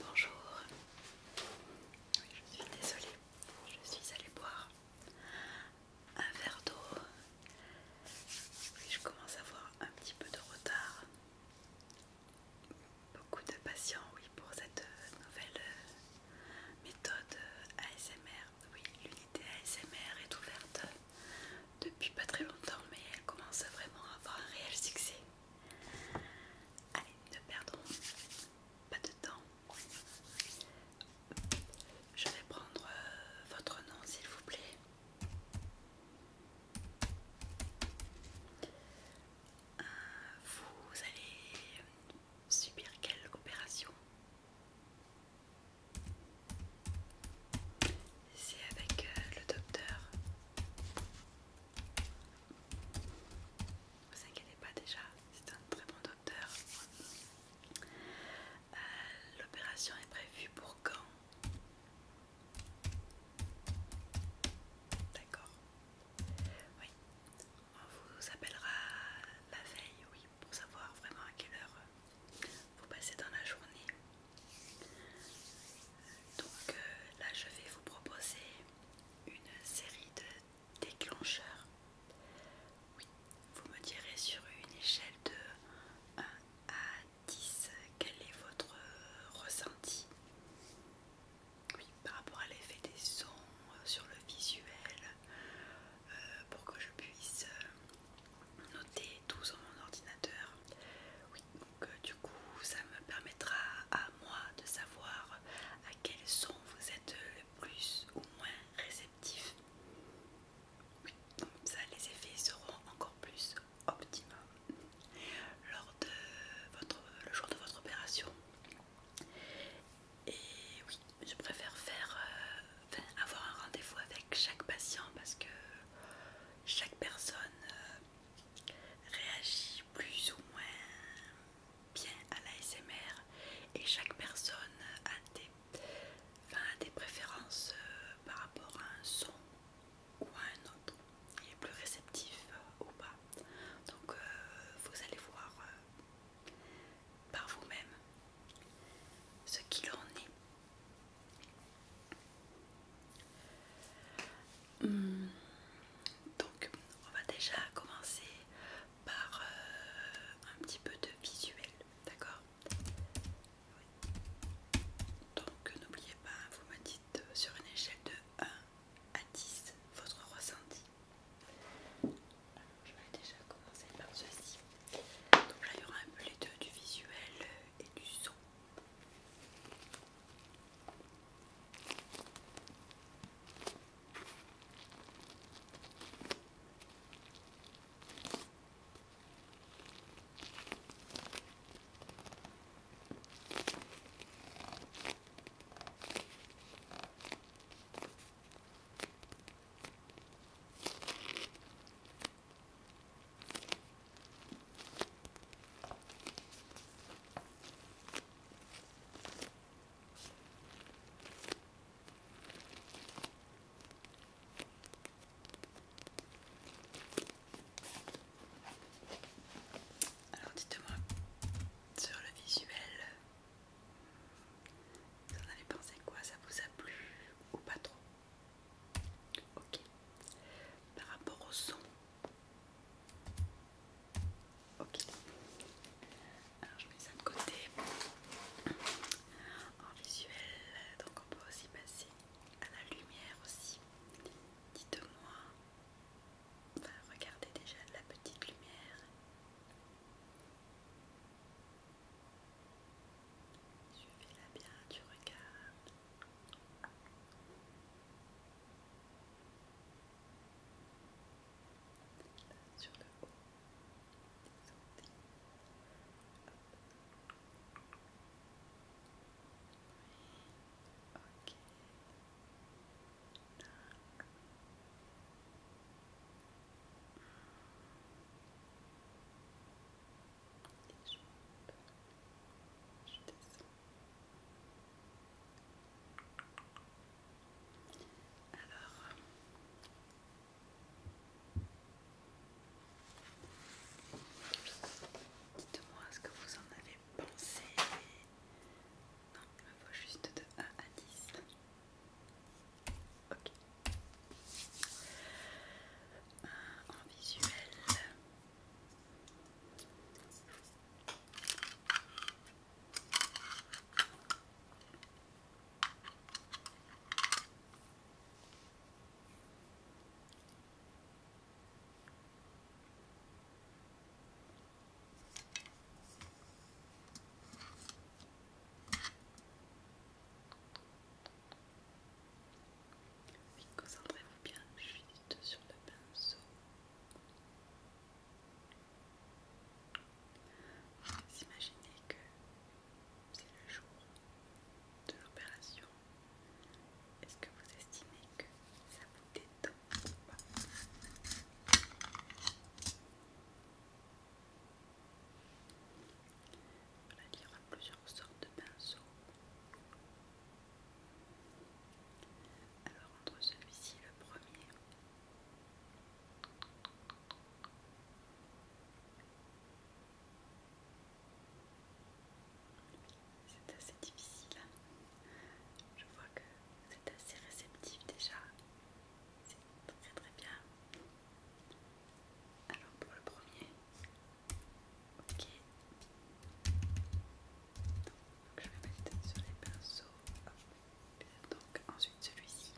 Bonjour, oui, je suis désolée, je suis allée boire un verre d'eau. je commence à avoir un petit peu de retard beaucoup de passion oui, pour cette euh, nouvelle euh, méthode euh, ASMR. Oui, l'unité ASMR est ouverte depuis pas très longtemps, mais elle commence vraiment à avoir un réel succès. Allez, ne perdons pas de temps. Je vais prendre votre nom, s'il vous plaît. vous allez Subir quelle opération C'est avec euh, le docteur. Ne vous inquiétez pas déjà, c'est un très bon docteur. Euh, l'opération est prévue pour quand D'accord. Oui, on vous appellera la veille, oui, pour savoir vraiment à quelle heure vous passez dans la journée. Donc euh, là, je vais vous proposer une série de déclencheurs. Oui, vous me direz sur une échelle de 1 à 10 quel est votre ressenti oui, par rapport à l'effet des sons euh, sur le visuel, euh, pour que je puisse euh, noter tout sur mon ordinateur. Oui, donc du coup, ça me permettra à moi de savoir à quel son vous êtes le plus ou moins réceptif. Oui, donc ça, les effets seront encore plus optimaux. lors de votre, le jour de votre opération. Et oui, je préfère faire, euh, avoir un rendez-vous avec chaque patient parce que chaque personne euh, réagit plus ou moins bien à l'ASMR et chaque personne a des, préférences euh, par rapport à un son ou à un autre. Il est plus réceptif ou pas. Donc vous allez voir par vous-même ce qu'il en est. Hmm. donc, on va déjà commencer par euh, un petit peu de visuel, d'accord Donc, n'oubliez pas, vous me dites euh, sur une échelle de 1 à 10 votre ressenti je vais déjà commencer par ceci. Donc là, il y aura un peu les deux du visuel et du son. Alors dites-moi sur le visuel, vous en avez pensé quoi Ça vous a plu ou pas trop Ok. Par rapport au son Ok. Alors je mets ça de côté. En visuel, donc on peut aussi passer à la lumière aussi. Dites-moi, regardez déjà la petite lumière tu fais là bien tu regardes. sur le haut, ok je monte, je descends. Alors, dites-moi ce que vous en avez pensé. Non, il me faut juste de 1 à 10. Ok. en visuel concentrez-vous bien juste sur le pinceau. Vous imaginez que c'est le jour de l'opération. Est-ce que vous estimez que ça vous détend ou pas on y lire plusieurs sortes de pinceaux. Alors entre celui-ci et le premier, c'est assez difficile. Hein. Je vois que c'est assez réceptif déjà c'est très très bien. Alors pour le premier, ok. je vais mettre sur les pinceaux. Donc ensuite celui-ci.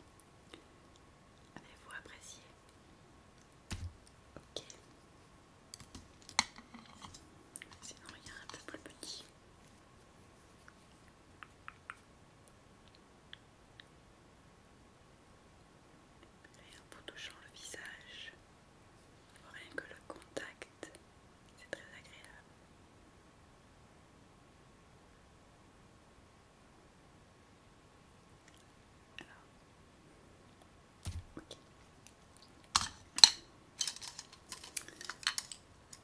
Avez-vous apprécié Ok. Sinon il y a un peu plus petit. Et en touchant le visage, rien que le contact, c'est très agréable.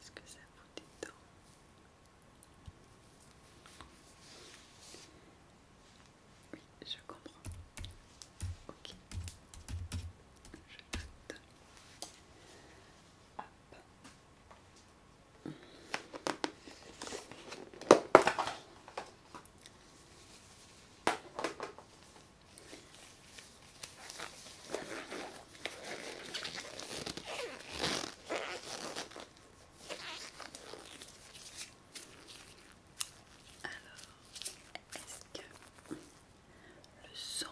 est-ce que ça vous détend Oui, je comprends. Ok. Je Hop. Alors, est-ce que le son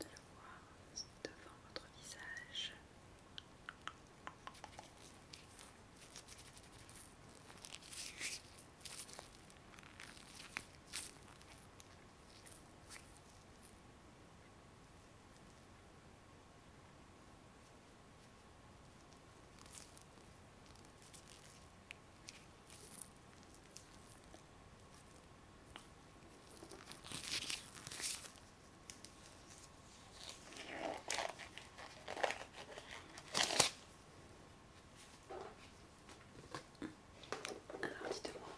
de le voir devant votre visage. Alors dites-moi.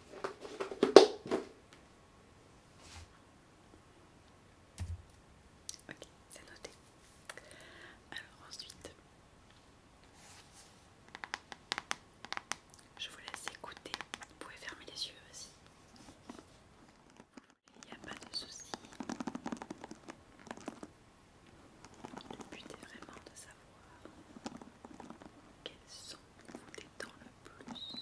Ok, c'est noté. Alors ensuite... Je vous laisse écouter. Vous pouvez fermer les yeux aussi. Il n'y a pas de souci. Le but est vraiment de savoir quel son vous détend le plus.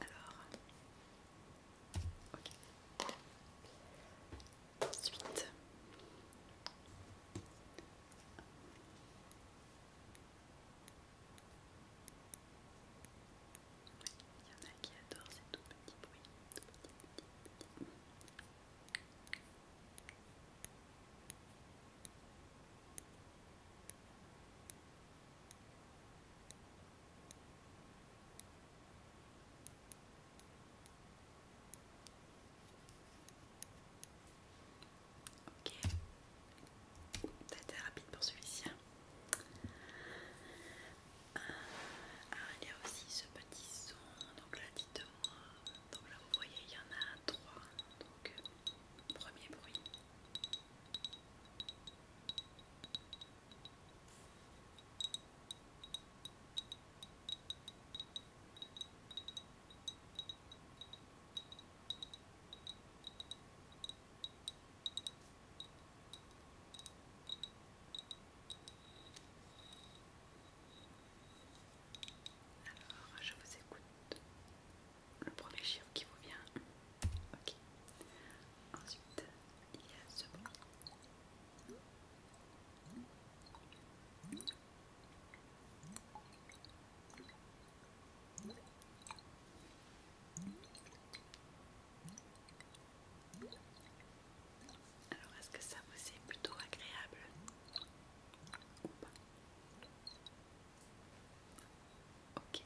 Alors, ok. Ensuite, il y en a qui adorent ces tout petits bruits. Ok, ça rapide pour celui-ci. Hein. Ah, il y a aussi ce petit son, donc là dites-moi, donc là vous voyez il y en a trois, donc euh, premier bruit. Alors, je vous écoute le premier chiffre qui vous vient. Ok. Ensuite, il y a ce bon. Alors, est-ce que ça vous est plutôt agréable Ok.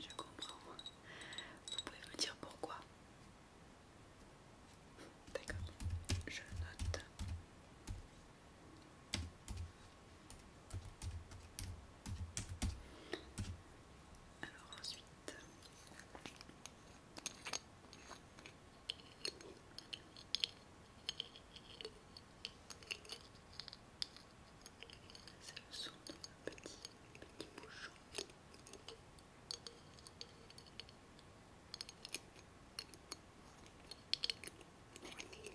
Je comprends. Vous pouvez me dire pourquoi D'accord. Je note. Alors ensuite... C'est le son d'un petit, petit bouchon. Après un autre couvercle.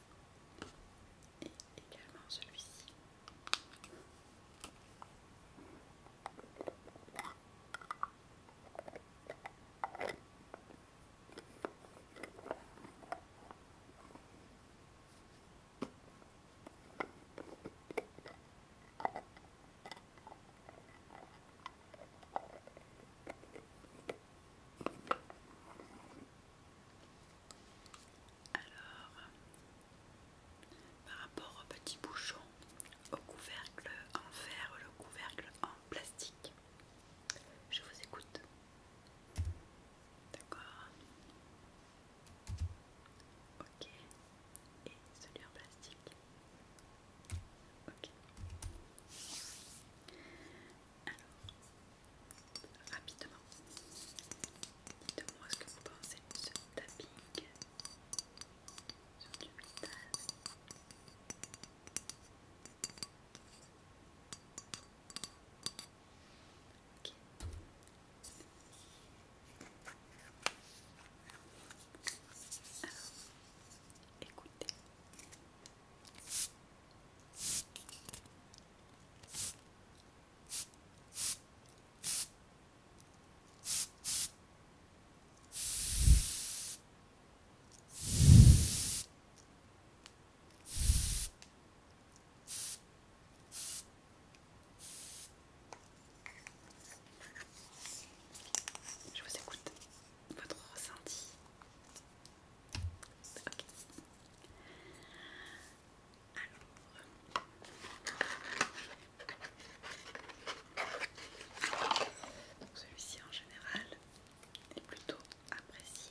et également celui-ci. Alors, par rapport au petit bouchon, au couvercle en fer ou le couvercle en plastique, je vous écoute. D'accord Ok. Et celui en plastique Ok. Alors, rapidement. Dites-moi ce que vous pensez de ce tapping sur du métal. Okay. Alors, écoutez. Je vous écoute votre ressenti celui-ci en général est plutôt apprécié.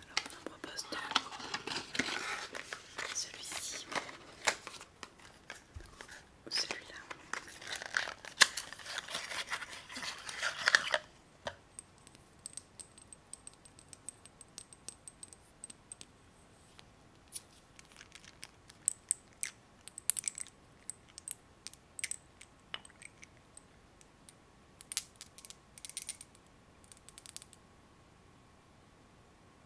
Alors on en propose Celui-ci. Ou celui-là.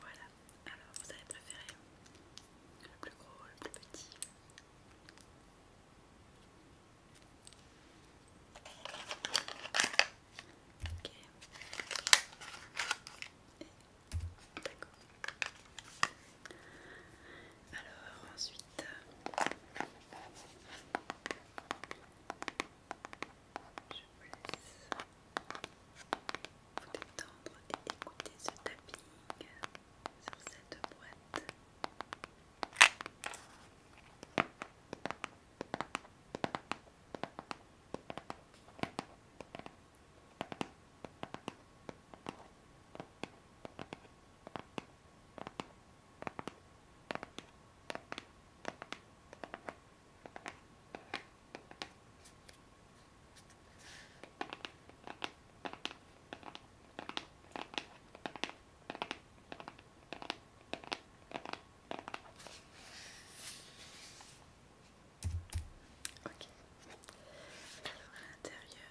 Voilà, alors vous avez préféré le plus gros, le plus petit Alors ensuite, je vous laisse vous détendre et écouter ce tapping sur cette boîte. Ok. Alors à l'intérieur,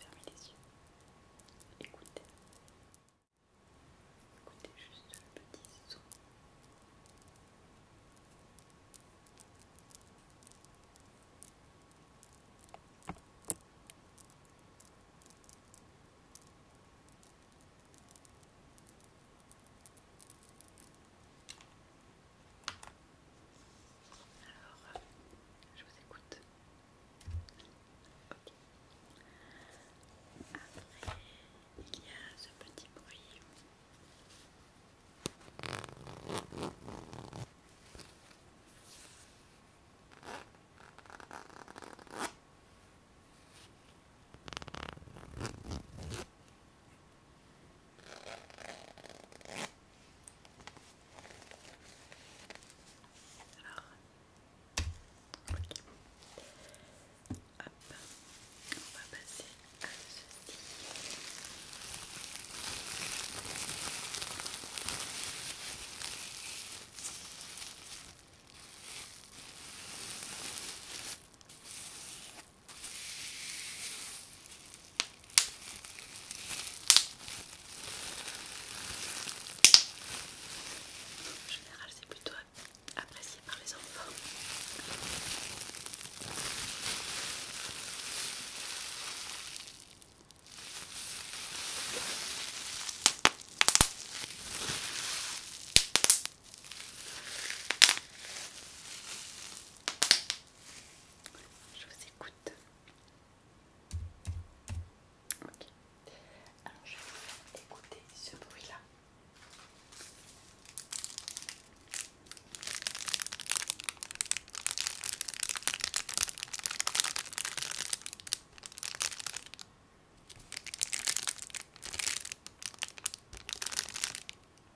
Fermez les yeux. Écoutez. Écoutez juste le petit son. Alors, je vous écoute. Ok. Après, il y a ce petit bruit. Hop. on va passer à ceci. En général, c'est plutôt apprécié par les enfants. Je vous écoute. Ok. Alors je vais vous écouter ce bruit-là.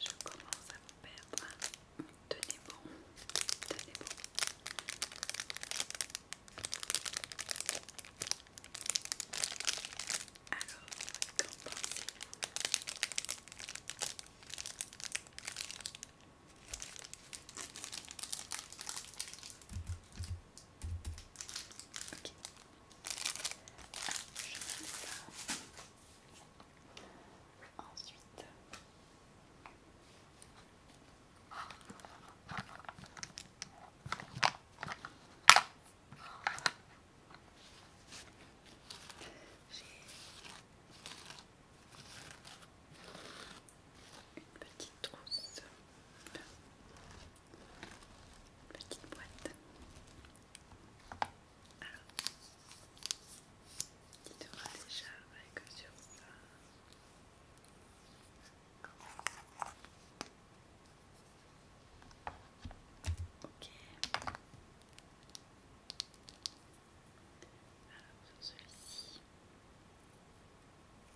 Je commence à me perdre. Tenez bon, tenez bon. Alors, qu'en pensez-vous Ok, Ensuite, j'ai une petite trousse. Petite boîte. Alors, tu moi déjà avec sur ça. Ok. Alors, sur celui-ci.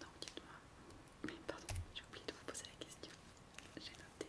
Non, dites-moi, mais pardon, j'ai oublié de vous poser la question. J'ai noté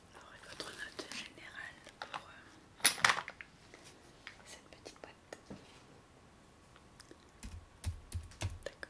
Alors, votre note générale pour euh, cette petite boîte D'accord.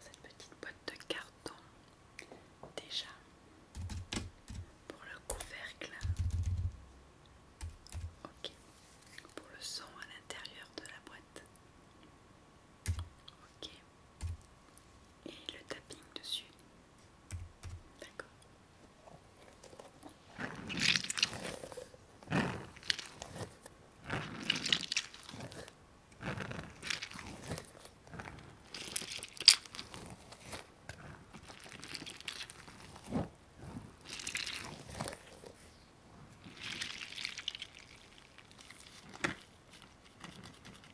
cette petite boîte de carton, déjà pour le couvercle, ok, pour le son à l'intérieur de la boîte, ok et le tapping dessus. D'accord.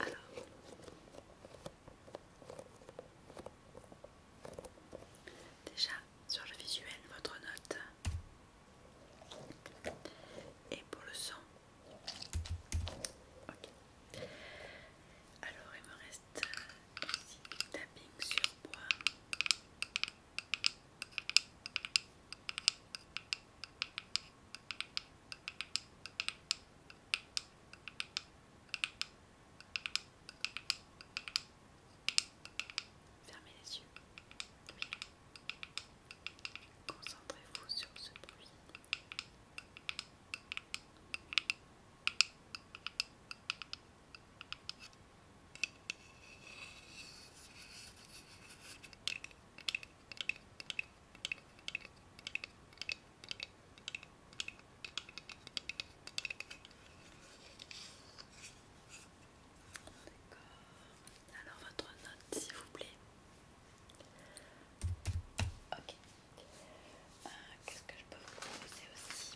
Alors. Déjà, sur le visuel, votre note. Et pour le son. Ok. Alors, il me reste Tapings ici tapping sur bois. Fermez les yeux. Oui. Concentrez-vous sur ce bruit. Alors votre note s'il vous plaît. Qu'est-ce que je peux vous proposer aussi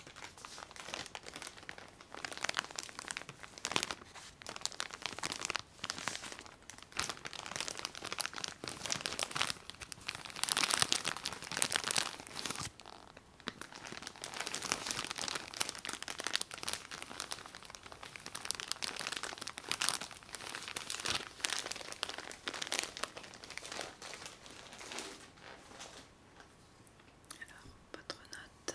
alors, votre note.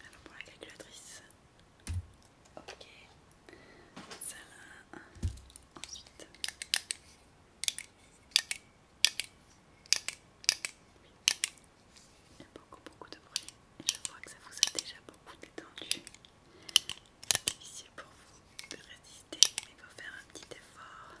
Alors pour la calculatrice, ok, ça là, ensuite, il y a beaucoup beaucoup de bruit je crois que ça vous a déjà beaucoup détendu. C'est difficile pour vous de résister, mais il faut faire un petit effort.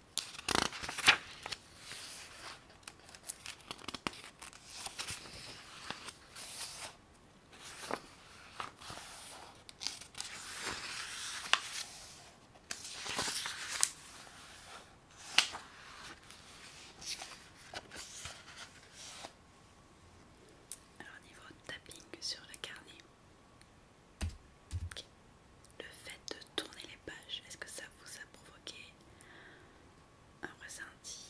Alors niveau tapping sur le carnet le fait de tourner les pages, est-ce que ça vous a provoqué un ressenti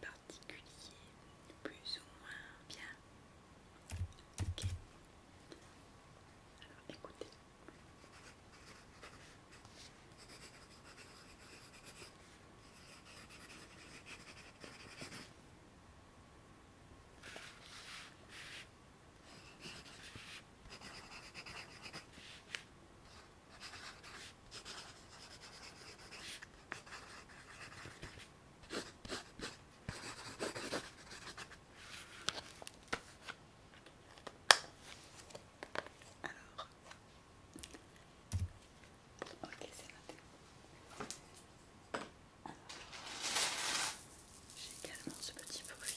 particulier, plus ou moins bien Alors écoutez. Alors, ok, c'est noté. j'ai également ce petit bruit.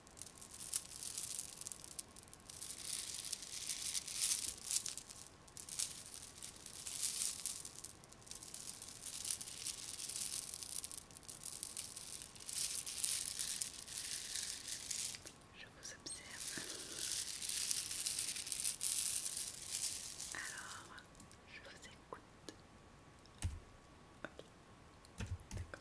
Je vous observe. Alors, je vous écoute. Ok. D'accord.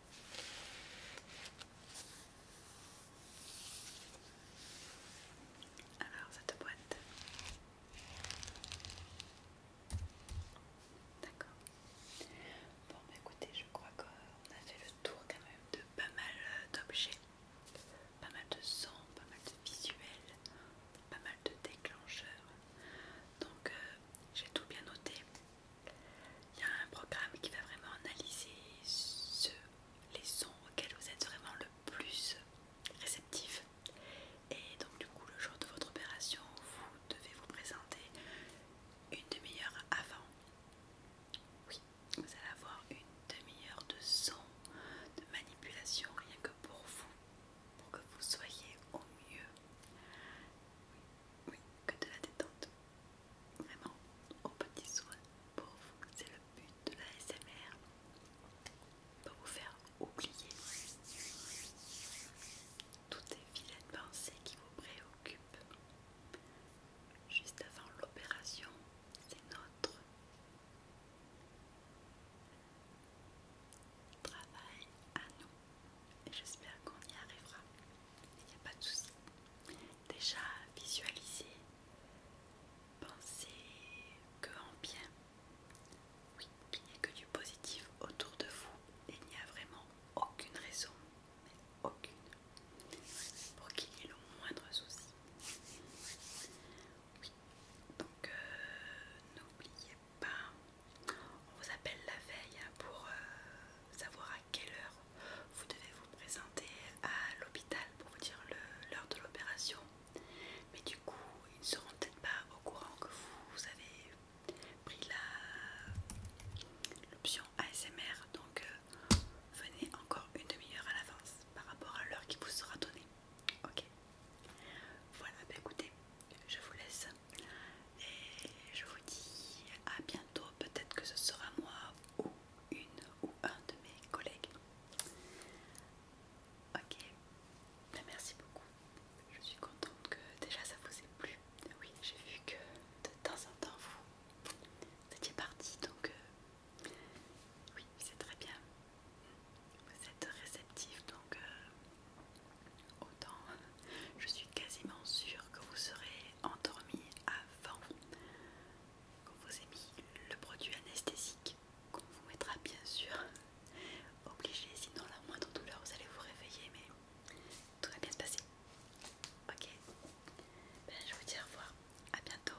Alors cette boîte. D'accord. Bon bah, écoutez, je crois qu'on a fait le tour quand même de pas mal euh, d'objets, pas mal de sons, pas mal de visuels, pas mal de déclencheurs. Donc euh, j'ai tout bien noté. Il y a un programme qui va vraiment analyser les sons auxquels vous êtes vraiment le plus réceptif. Et donc du coup le jour de votre opération, vous devez vous présenter une demi-heure avant. Oui, vous allez avoir une demi-heure de son, de manipulation rien que pour vous, pour que vous soyez au mieux. Oui, oui que de la détente vraiment au petit soin, pour vous. C'est le but de la SMR pour vous faire oublier toutes les de pensées qui vous préoccupent. Juste avant l'opération, c'est notre travail à nous et j'espère qu'on y arrivera il n'y a pas de souci. Déjà, visualisez, pensez que en bien. Oui, qu'il n'y a que du positif autour de vous. Il n'y a vraiment aucune raison, aucune, pour qu'il y ait le moindre souci. Oui, donc euh, n'oubliez pas, on vous appelle la veille pour euh, savoir à quelle heure vous devez vous présenter à l'hôpital pour vous dire l'heure de l'opération. Mais du coup, ils ne seront peut-être pas au courant que vous, avez pris l'option ASMR. Donc, euh, venez encore une demi-heure à l'avance par rapport à l'heure qui vous sera donnée. Ok Voilà, bah, écoutez, je vous laisse et je vous à bientôt. Peut-être que ce sera moi ou une ou un de mes collègues. Ok, ben, merci beaucoup. Je suis contente que déjà ça vous ait plu. Oui, j'ai vu que de temps en temps vous, étiez parti donc euh, oui, c'est très bien. Vous êtes réceptif donc. Euh, autant, je suis quasiment sûre que vous serez endormi avant qu'on vous ait mis le produit anesthésique qu'on vous mettra bien sûr obligé sinon la moindre douleur vous allez vous réveiller mais tout va bien se passer ok ben, je vous dis au revoir à bientôt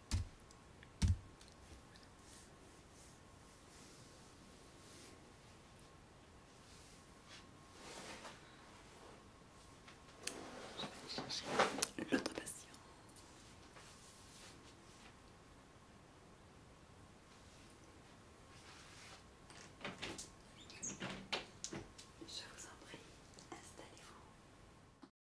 Je vais chercher L'autre patient. Je vous en prie, installez-vous.